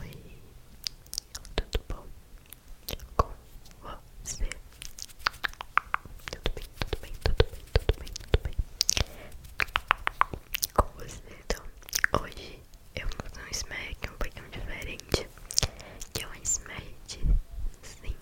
Oi, tudo bom com você? Tudo bem, tudo bem, tudo bem, tudo bem, tudo bem com você. Então, hoje eu vou fazer um smack um pouquinho diferente, que é um smack sim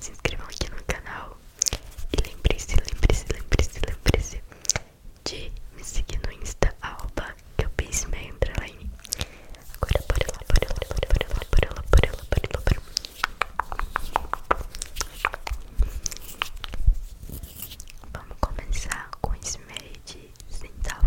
se inscrevam aqui no canal e lembre-se, lembre-se, lembre-se, lembre-se de me seguir no Insta, arroba que eu pense meio underline. Agora bora lá, bora lá, bora lá, bora lá, bora lá, bora lá, bora lá. Vamos começar com esse meio de centavo.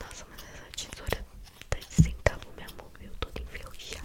Nossa, mas essa tesoura tá de meu amor. eu tô enferrujada.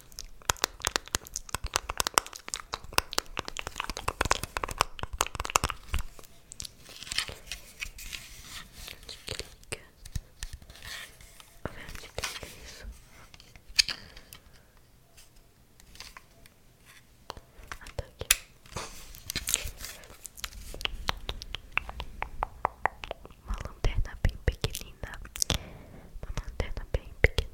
Onde clica? Onde clica isso? Ataque. Uma lanterna bem pequenina. Uma lanterna bem pequenina.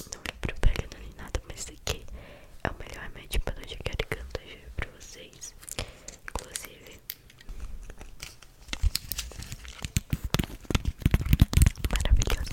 Não é propaganda nem nada, mas isso aqui é o melhor remédio para dor de garganta, eu juro para vocês. Inclusive, maravilhosa.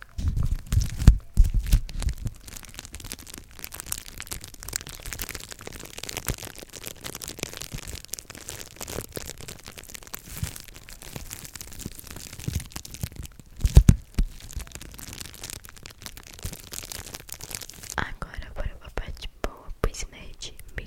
Agora para uma de boa, pois nerd né,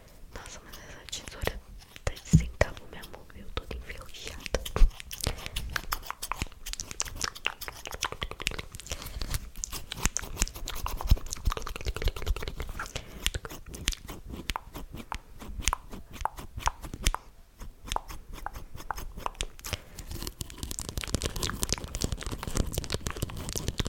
Nossa, mas essa tesoura tá sem cabo meu amor. Eu tô toda enferrujada.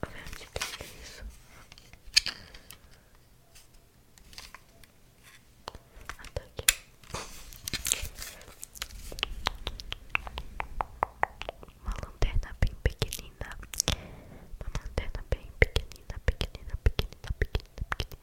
Como aqui. Uma lanterna bem pequenina. Uma lanterna bem pequenina, pequenina, pequenina, pequenina, pequenina.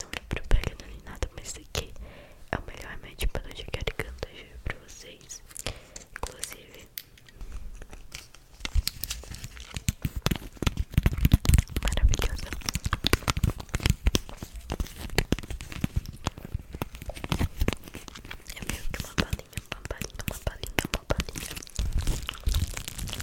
Não é propaganda nem nada, mas isso aqui é o melhor médico para de garganta, juro pra vocês. Inclusive, maravilhoso É meio que uma balinha, uma balinha, uma balinha, uma balinha.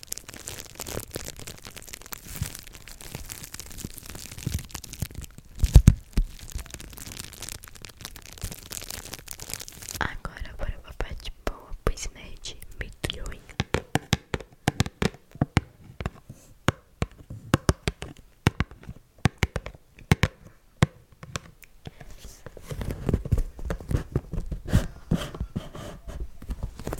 Agora bora pra parte boa, pois mede milhões.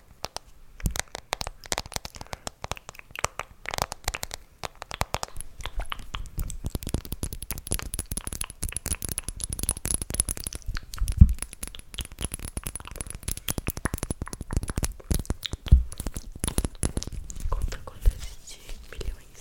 Conta quantas de milhões.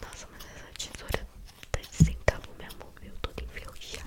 Nossa, mas essa tesoura tá de centavo mesmo, eu tô enferrujada.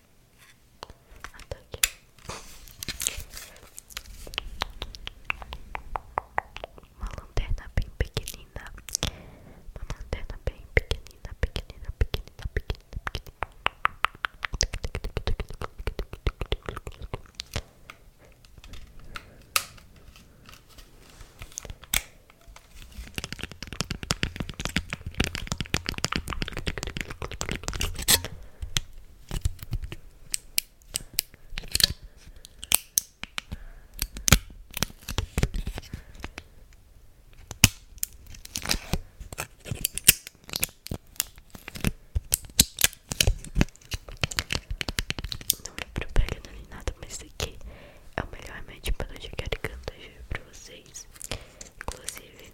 Ataque. Uma lanterna bem pequenina. Uma lanterna bem pequenina, pequenina, pequenina, pequenina, pequenina. Não me é propaganda nem nada, mas isso aqui é o melhor remédio para dor de garganta, juro pra vocês. Inclusive,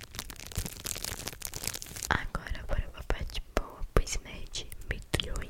Agora para uma parte boa, pois nerd medronha.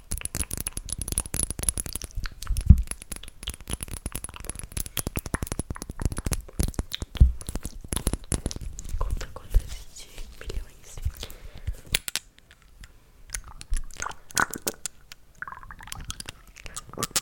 Conta contas de milhões. Conta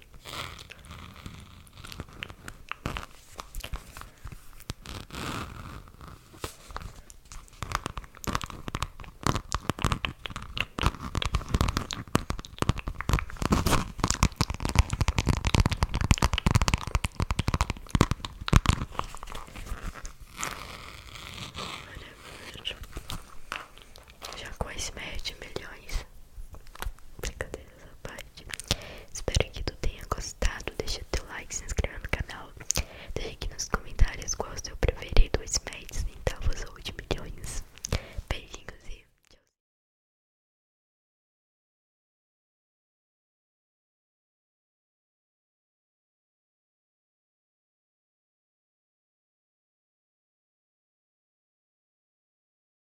Maravilhoso. Já com esse milhões essa parte. Espero que tu tenha gostado. Deixa teu like, se inscreva no canal. deixe aqui nos comentários qual é o seu preferido, os médios, centavos ou de milhões. Beijinhos e tchau.